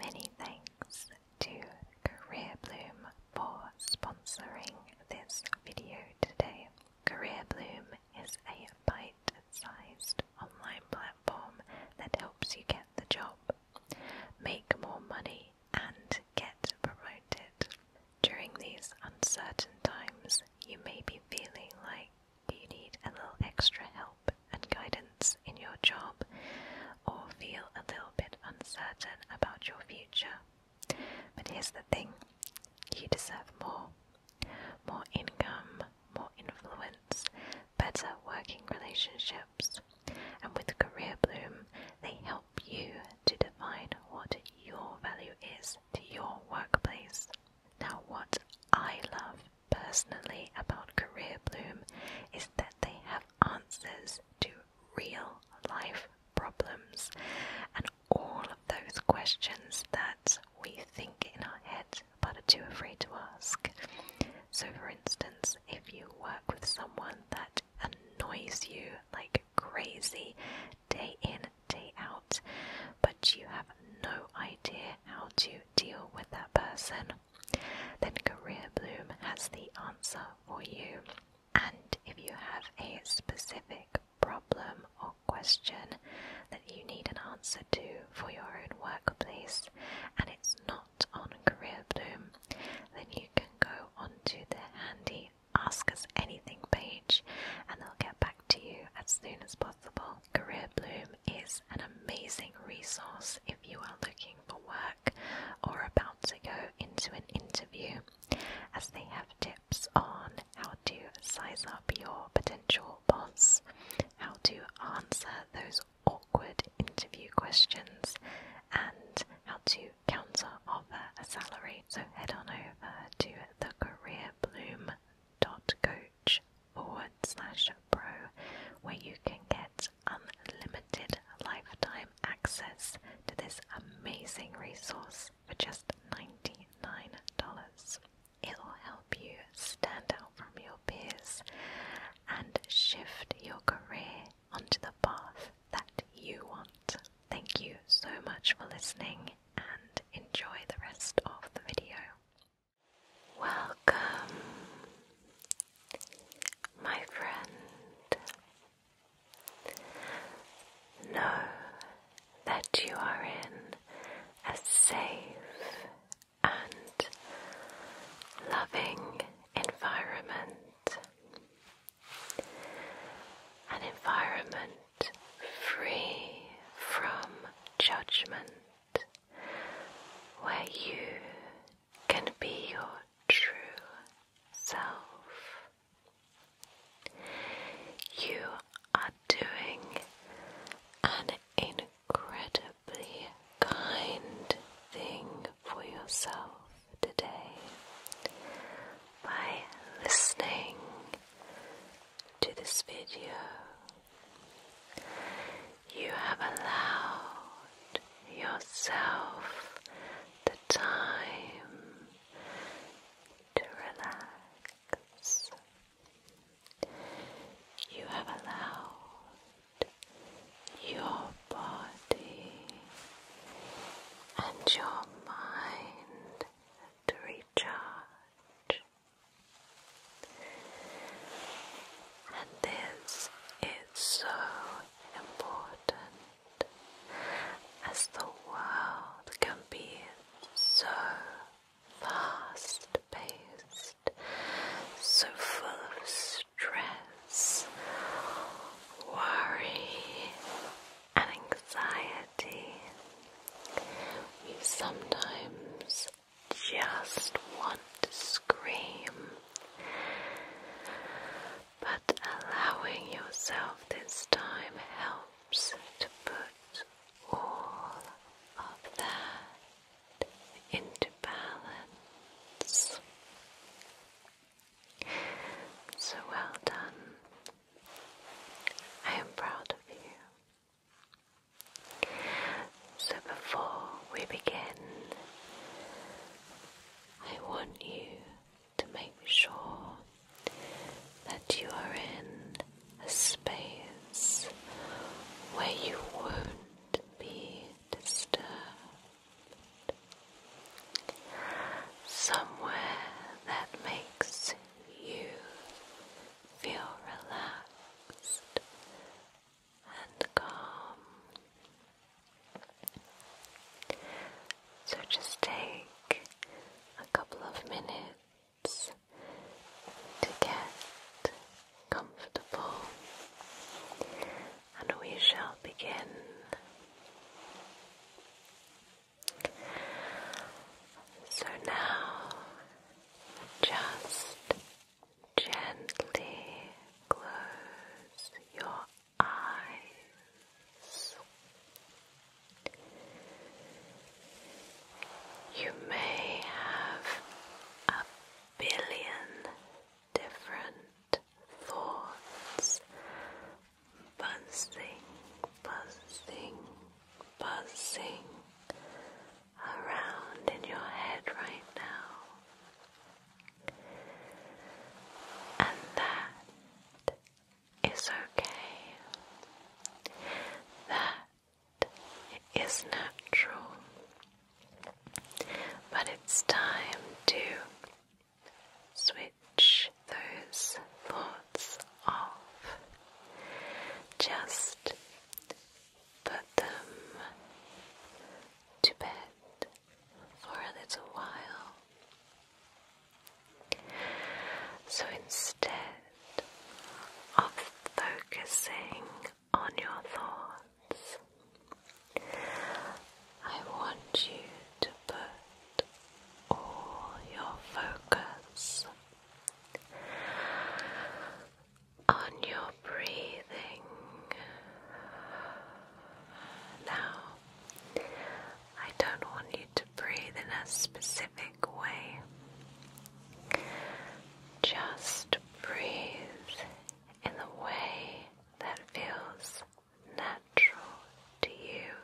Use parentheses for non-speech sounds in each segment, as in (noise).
Many thanks to CareerBloom for sponsoring this video today. CareerBloom is a bite-sized online platform that helps you get the job, make more money, and get promoted. During these uncertain times, you may be feeling like you need a little extra help and guidance in your job or feel a little bit uncertain about your future. But here's the thing you deserve more more income, more influence, better working relationships. And with Career Bloom, they help you to define what your value is to your workplace. Now, what I love personally about Career Bloom is that they have answers to real life problems and all of those questions that we think in our head but are too afraid to ask. So, for instance, if you work with someone that annoys you like crazy day in, day out, but you have no idea how to deal with that person then Career Bloom has the answer for you. And if you have a specific problem or question that you need an answer to for your own workplace and it's not on Career Bloom, then you can go onto the handy Ask Us Anything page and they'll get back to you as soon as possible. Career Bloom is an amazing resource if you are looking for work or about to go into an interview, as they have tips on how to size up your potential boss, how to answer those awkward interview questions, and how to counter offer a salary. So head on over to Coach forward slash pro where you can get unlimited lifetime access to this amazing resource for just $99. It'll help you stand out from your peers and shift your career onto the path that you want. Thank you so much for listening and enjoy the rest of the video. Welcome, my friend. Know that you are in a safe and loving environment, an environment free from judgment. Where you can be your true self. You are doing an incredibly kind thing for yourself today by listening to this video you have allowed yourself the time to relax. You have allowed your body and your mind to recharge. And this is so important as the world can be so fast paced, so full of stress, worry, and anxiety. We sometimes just want to scream, but allowing yourself this time helps to put all of that into balance. So well done. I am proud of you. So, before we begin, I want you to make sure that you are in a space where you won't be disturbed. Somewhere that makes you feel relaxed and calm. So just take a couple of minutes to get comfortable, and we shall begin. So now just Gently close your eyes. You may have a billion different thoughts buzzing, buzzing, buzzing around in your head right now. And that is okay. That is natural. But it's time to switch those thoughts off. Just put them to bed for a little while. So instead of focusing on your thoughts, I want you to put all your focus on your breathing. Now, I don't want you to breathe in a specific way. Just breathe in the way that feels natural to you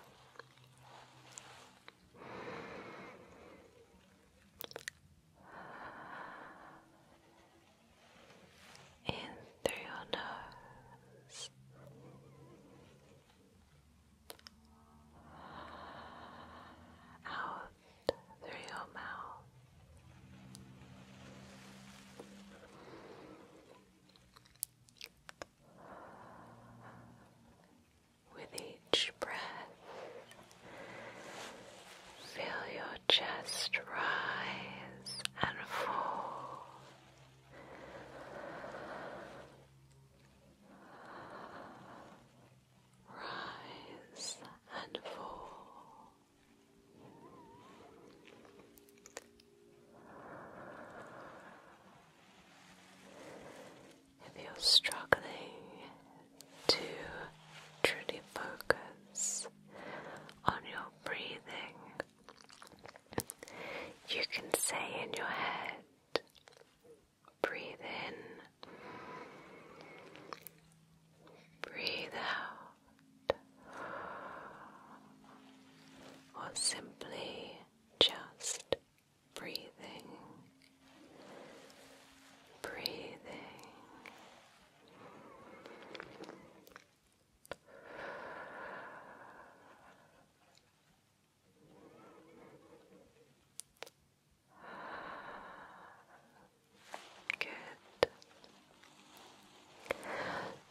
in through your nose. Out through your mouth. With each Feel your chest rise and fall. Rise and fall. If you're struggling to truly focus on your breathing. You can say in your head, breathe in, breathe out, or simply just breathing breathing. Good.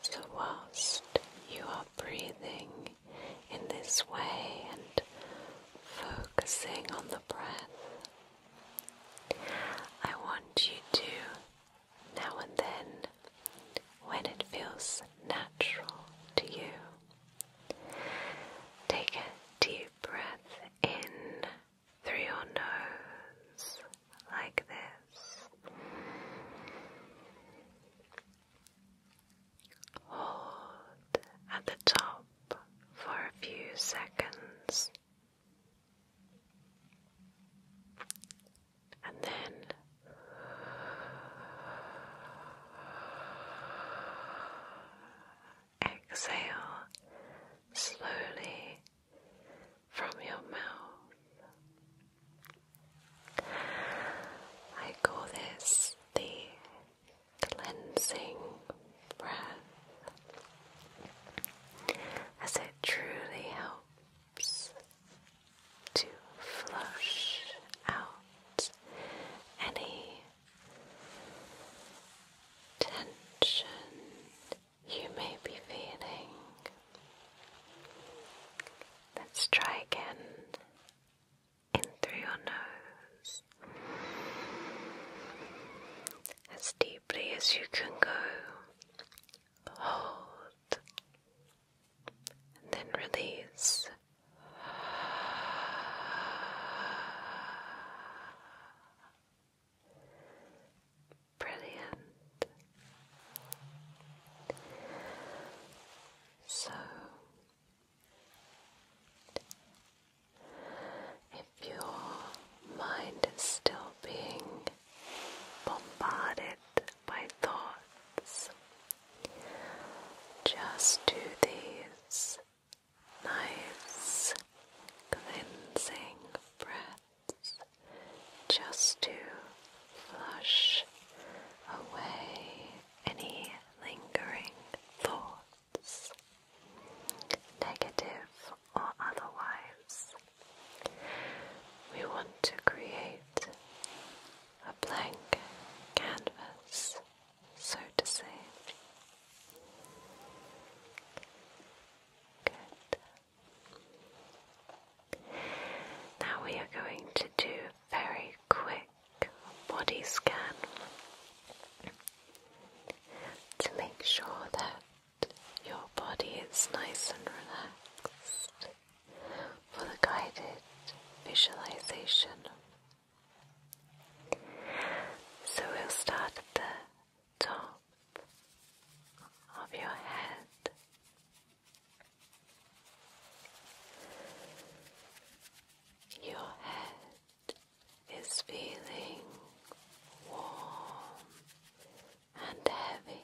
So, whilst you are breathing in this way and focusing on the breath, I want you to, now and then, when it feels natural to you, take a deep breath in through your nose, like this. Hold at the top for a few seconds. And then exhale slowly from your mouth. I call this the cleansing breath as it truly helps to flush out any tension you may be feeling. Let's try again in through your nose as deeply as you can go. Hold and then release. Brilliant. So if your mind is still being bombarded by thoughts, just do these nice cleansing breaths just to flush away any lingering thoughts negative or otherwise. We want to create a blank canvas, so to say. Good. Now we are going to do a very quick body scan to make sure that your body is nice and relaxed for the guided visualization. So we'll start at the top of your head. Your head is feeling warm and heavy.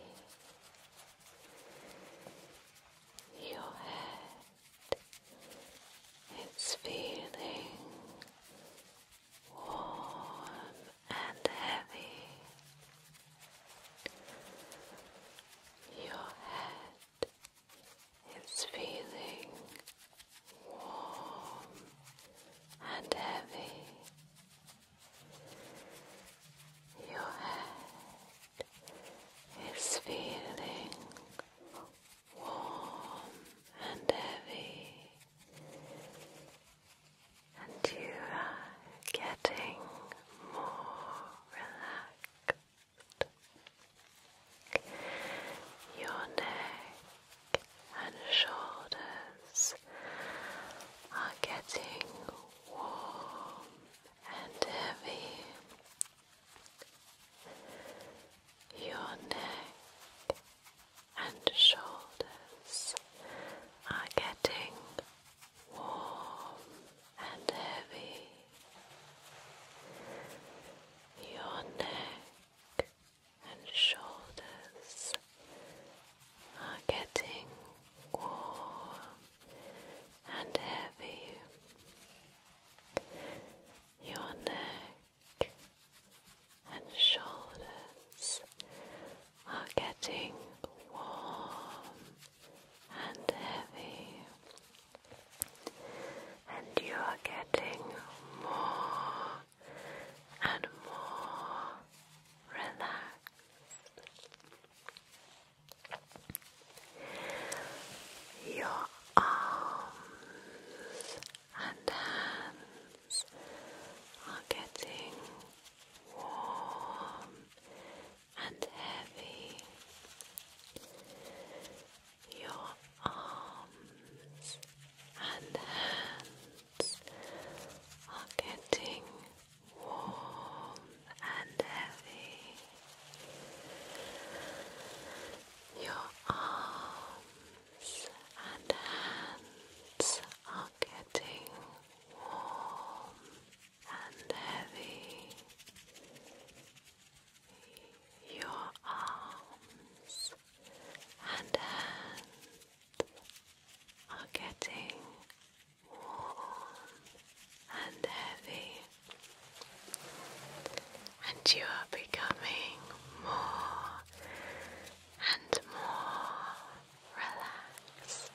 Your head is feeling warm and heavy. Your head it's feeling warm and heavy. Your head is feeling warm and heavy, and you are getting more relaxed. Your neck and shoulders are getting warm and heavy. Your neck and shoulders are getting warm and heavy. Your neck and shoulders are getting warm and heavy. Your neck and shoulders are getting warm and heavy and you are getting more and more relaxed. Your arms and hands are getting warm and heavy your arms and hands are getting warm and heavy. Your arms and hands are getting warm and heavy. Your arms and hands uh, are getting warm and heavy, and you are becoming more and more relaxed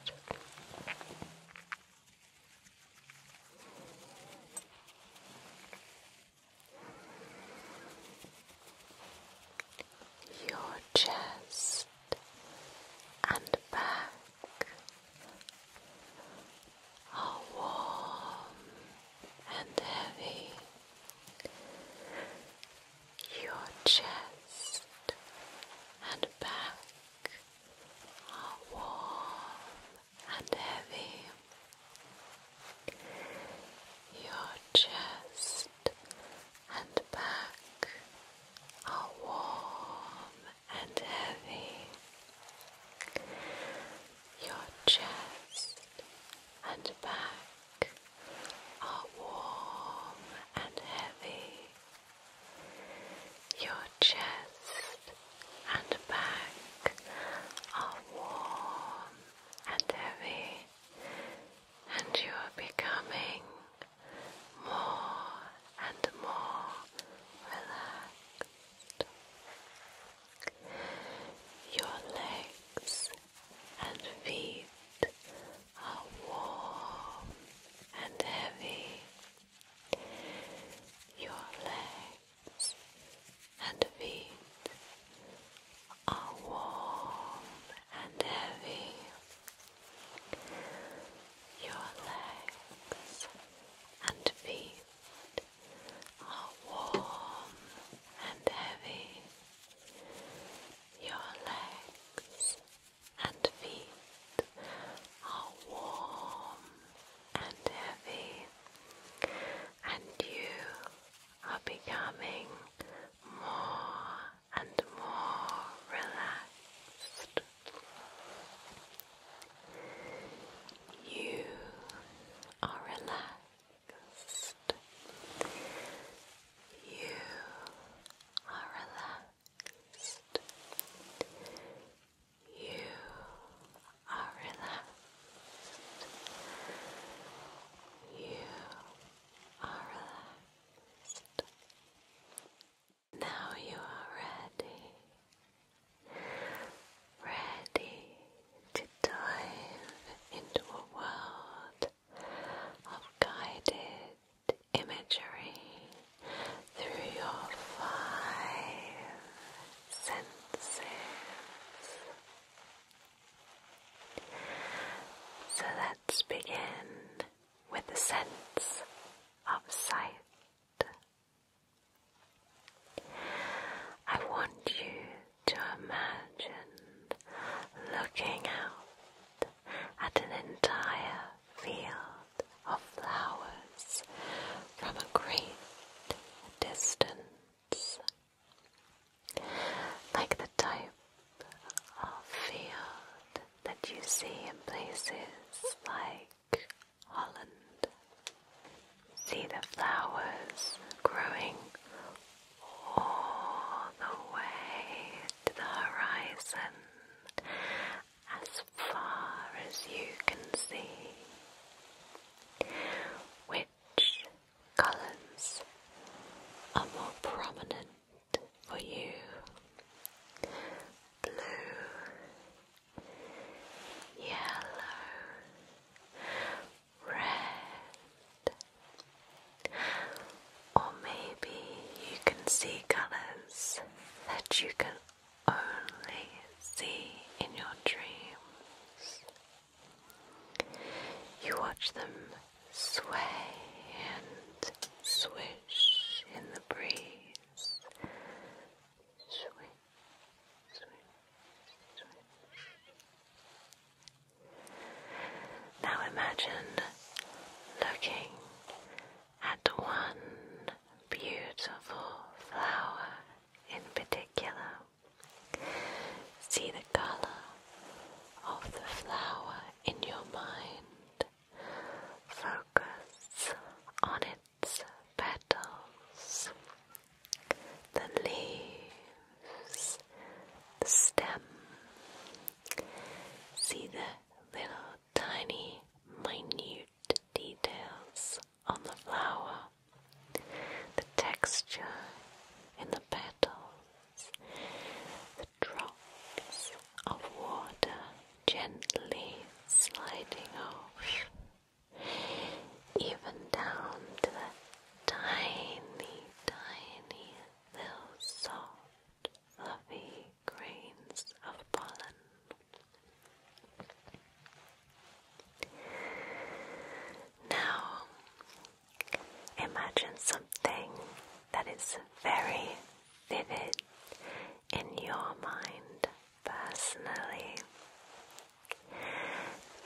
your chest and back are warm and heavy. Your chest and back are warm and heavy. Your chest and back are warm and heavy. Your chest and back are warm and heavy. Your chest and back are warm and heavy, and you are becoming more and more relaxed. Your legs and feet are warm and heavy. Your legs and feet are warm and heavy. Your legs and feet are warm and heavy. Your legs and feet are warm and heavy, and you are becoming more and more relaxed. You are relaxed. You are relaxed. You are relaxed. You are relaxed. Now you are ready. Ready to dive into a world of guided imagery through your five senses. So let's begin with the sense of sight. I want you to imagine looking out at an entire field of flowers from a great distance like the type of field that you see in places like Holland. See the flowers growing all the way to the horizon as far as you can see. We which colours are more prominent for you? Blue, yellow, red. Or maybe you can see colours that you can only see in your dreams. You watch them sway and swish in the breeze. Now imagine looking at one beautiful flower in particular. See the color of the flower in your mind. Focus on its petals, the leaves, the stem. See the little tiny minute details on the flower, the texture in the petals, the drops of water gently sliding off, even down to the tiny, tiny little soft, fluffy grains of pollen. Now, imagine something that is very vivid in your mind personally.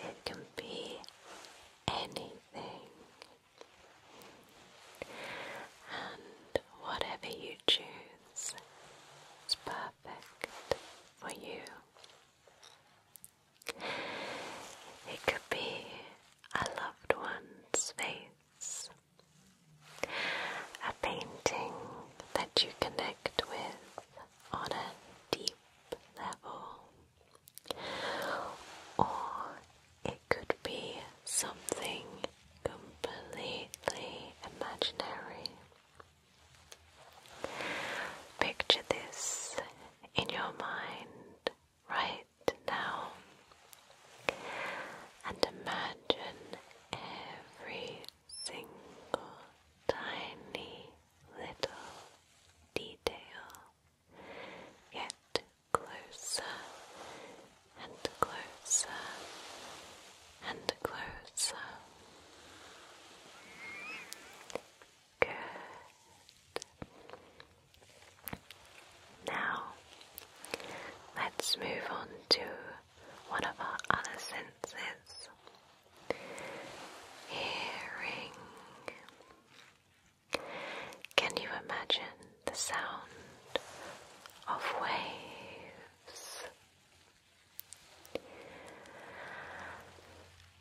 It can be anything. And whatever you choose is perfect for you. It could be a loved one's face, a painting that you connect with on a deep level, or it could be something completely imaginary. Picture this in your mind right now and imagine every single tiny little detail get closer and closer and closer. Good. Now, let's move on to one of our other senses hearing. Can you imagine the sound of waves?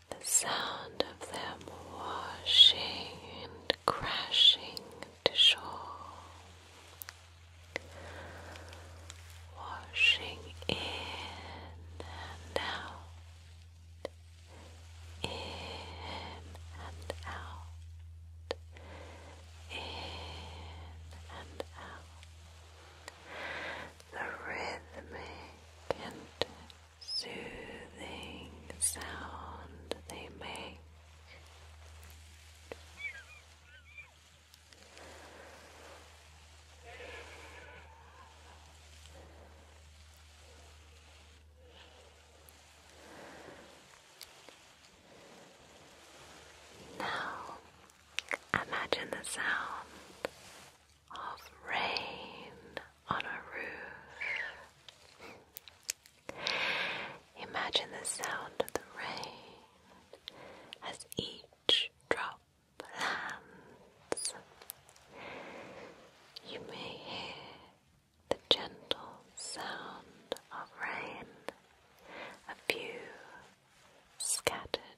The sound of them washing and crashing to shore, washing in and out, in and out, in and out the rhythmic and soothing sound they make. Now, imagine the sound of rain on a roof. Imagine the sound of rain as each drop lands. You may hear the gentle sound of rain, a few scattered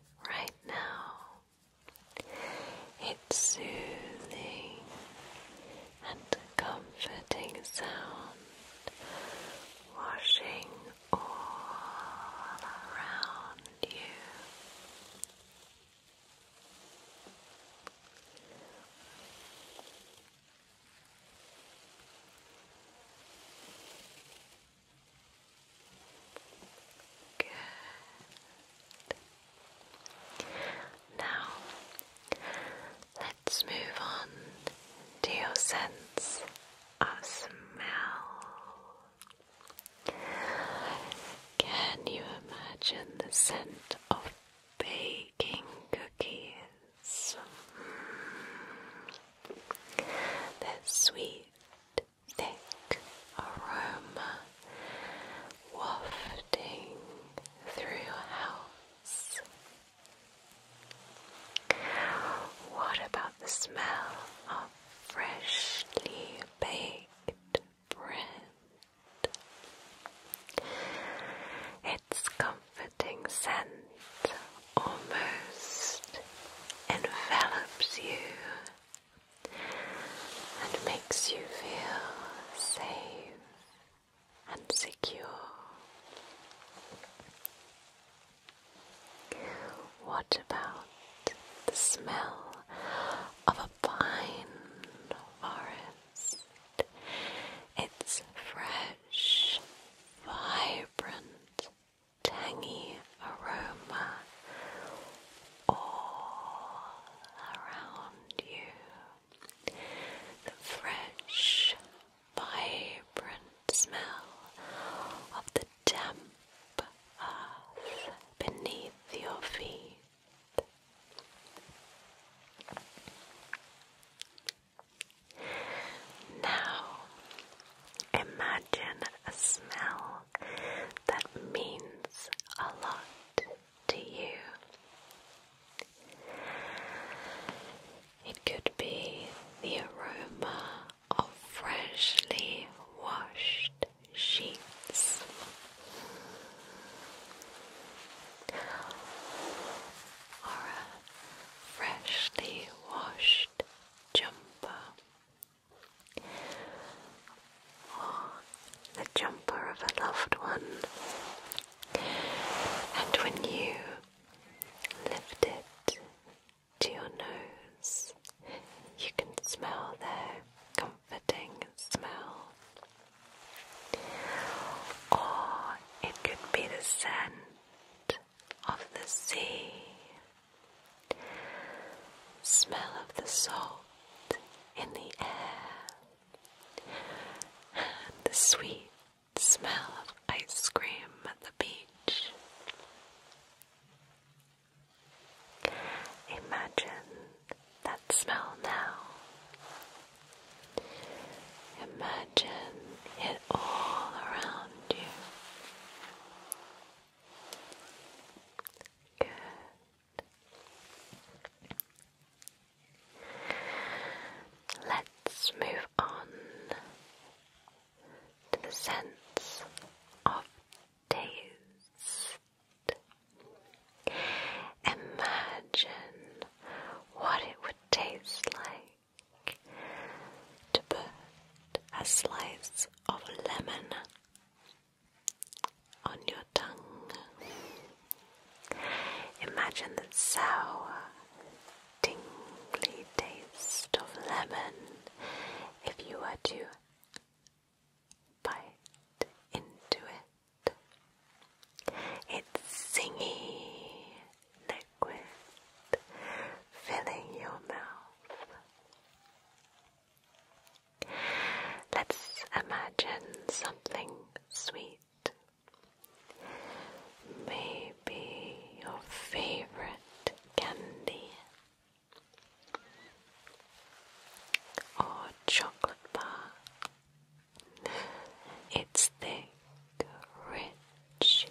right now. Its soothing and comforting sound washing all around you. Good. Now, let's move on to your sense of smell. Can you imagine the scent of baking cookies? Mm. They're sweet thick aroma wafting through your house. What about the smell of freshly baked bread? Its comforting scent almost envelops you and makes you feel safe and secure. What about the smell of a pine forest? It's fresh, vibrant, tangy aroma all around you. The fresh, vibrant smell of the damp earth beneath your feet. Now Imagine a smell that means a lot to you. It could be the aroma of freshly washed sheets. Or a freshly washed jumper or the jumper of a loved one, and when you lift it to your nose, you can smell their comforting smell. Or it could be the scent of the sea, smell of the salt in the air, and the sweet smell of ice cream at the beach. Imagine that smell now. Imagine it all around you. Good. Let's move on to the sense of taste. Imagine what it would taste like to put a slice of lemon on your tongue. Imagine the sour, tingly taste of lemon if you were to bite into it. It's singy liquid filling your mouth. Let's imagine something sweet. Maybe your favorite candy or chocolate bar. Its thick, rich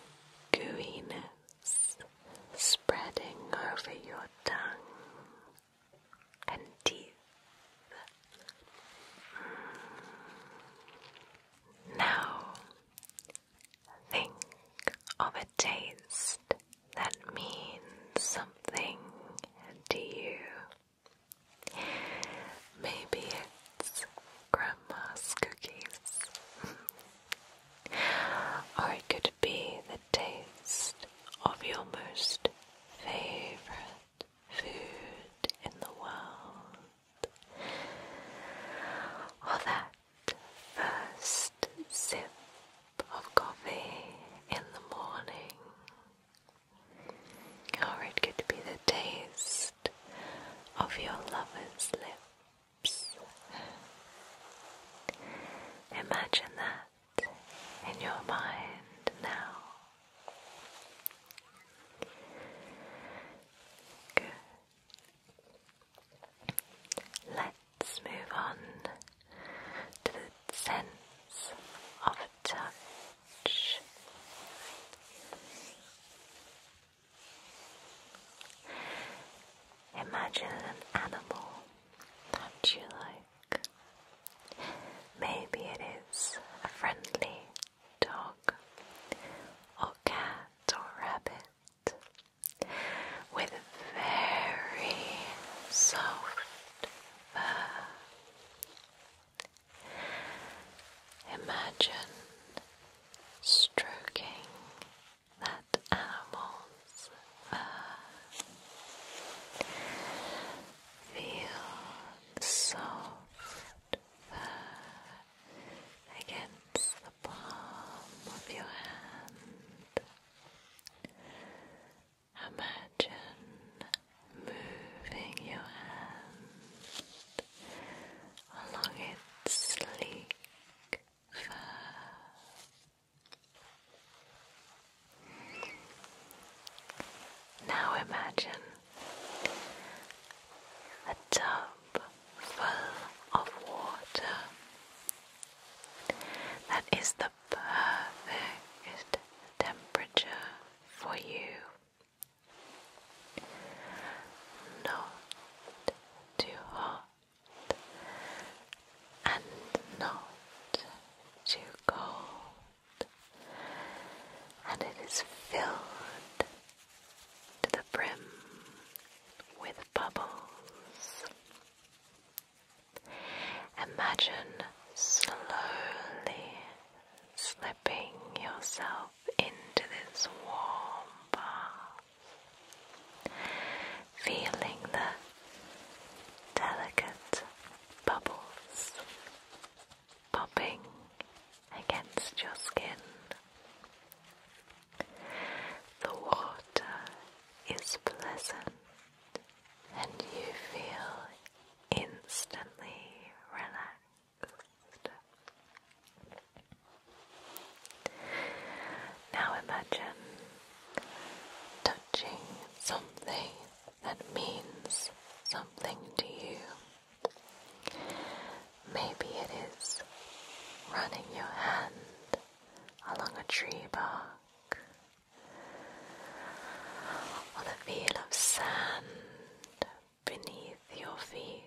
gooiness spreading over your tongue and teeth. Now, think of a taste that means something to you. Maybe it's grandma's cookies. (laughs) or it could be the taste of your most favorite food in the world, or that first sip of coffee in the morning. Or it could be the taste of your lover's lips Imagine that in your mind now. Good. Let's move on to the sense of touch. Imagine an animal that you like. Maybe it is a friendly dog, or cat, or rabbit, with very soft fur. Imagine stroking that animals uh, feel soft fur against the palm of your hand. Imagine moving your hand along its sleek now imagine a tub full of water. That is the perfect temperature for you. Not too hot and not too cold, and it is filled to the brim with bubbles. Imagine slowly slipping yourself into this warm bath feeling the delicate bubbles popping against your skin. The water is pleasant and you feel instantly relaxed. Now imagine touching something that means something to you. Maybe it is running your hand along a tree bark, or the feel of sand beneath your feet.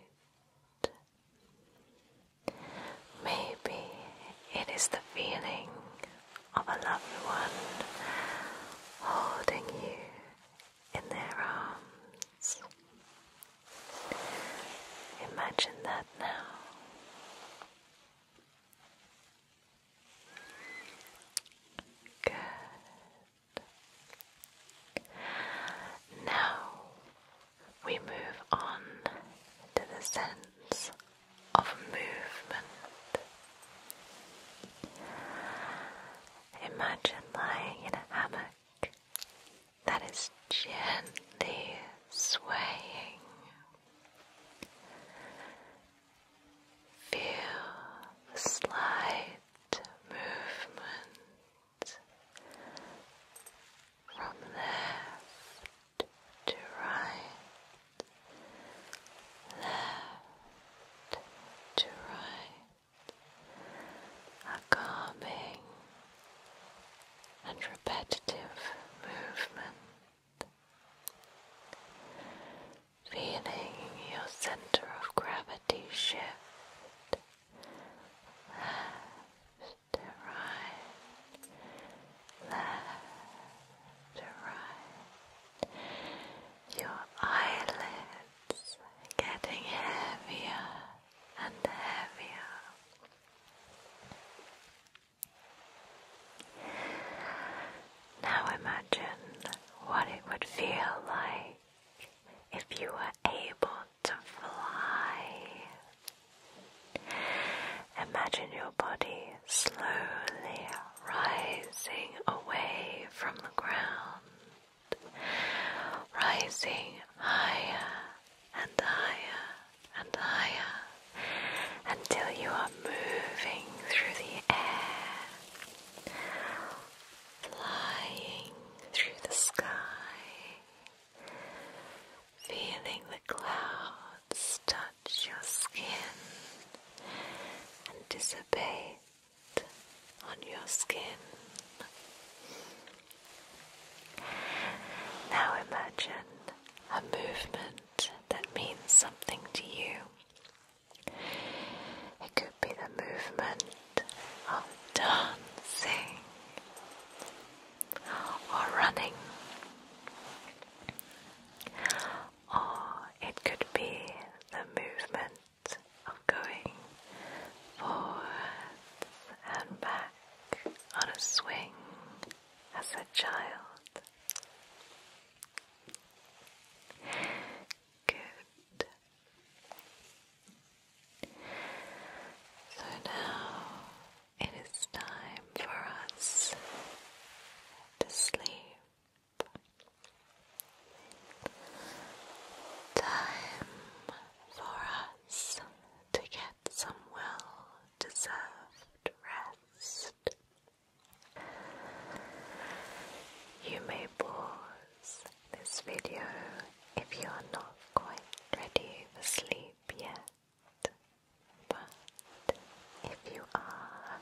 Maybe it is the feeling of a loved one holding you in their arms. Imagine that now. Good. Now we move on to the sense of movement. Imagine lying in a hammock that is gently swaying. Feel the slight movement from left to right, left to right, a calming and repetitive movement, feeling your center of gravity shift left to right, left to right. Your eyelids getting heavier and heavier. Now imagine what it would feel like if you were able to fly. Imagine your body slowly rising away from the ground, rising higher and higher and higher until you are moving through the air, flying through the sky, Feeling the clouds touch your skin and dissipate on your skin. Now imagine a movement that means something to you. It could be the movement of dancing or running, or it could be the movement of going forwards and back on a swing as a child. Good. So now it is time for us to sleep. Time for us to get some well deserved rest. You may board this video if you are not quite ready for sleep yet. But if you are,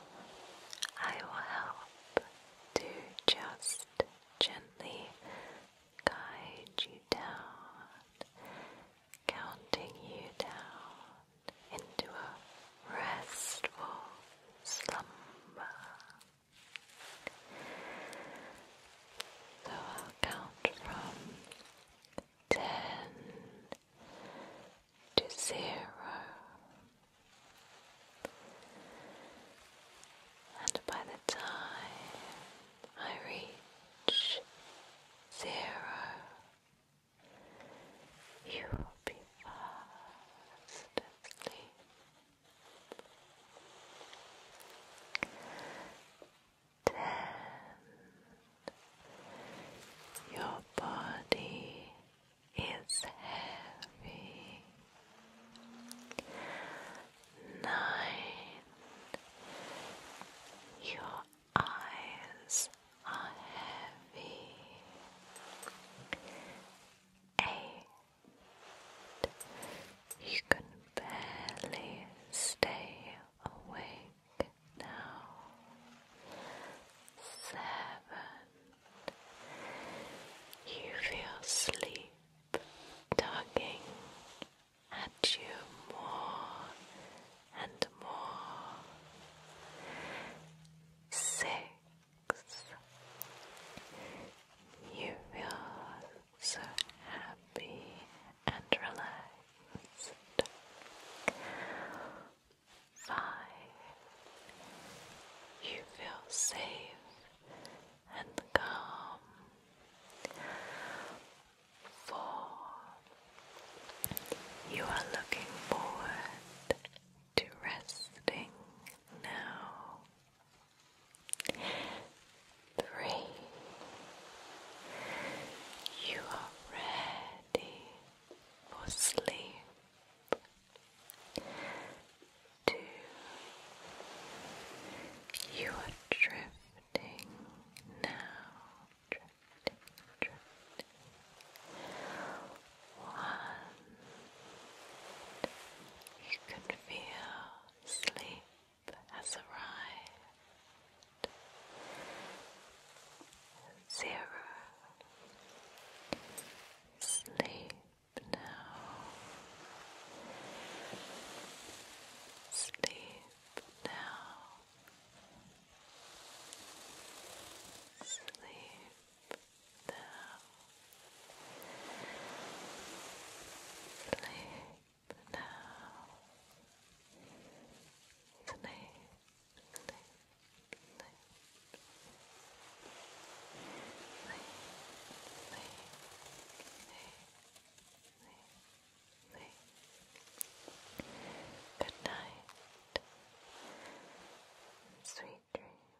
I will help to just gently guide you down, counting you down into a restful slumber. So I'll count from ten to zero, and by the time I reach zero, you will be fast asleep. Ten. Your body is heavy. Nine. Your eyes are heavy. Eight. You can barely stay awake now. Seven. You feel sleep tugging at you more and more. Six. You feel so happy and relaxed. Five, you feel safe and calm. Four, you are looking forward to resting now. Three. You are ready for sleep. Two. You are drifting now. One. You can feel sleep has arrived. Zero. Sleep now. Sleep now. Sleep now. Sleep now. Sleep, sleep, sleep. Sleep, sleep, sleep, sleep, Good night. Sweet dreams.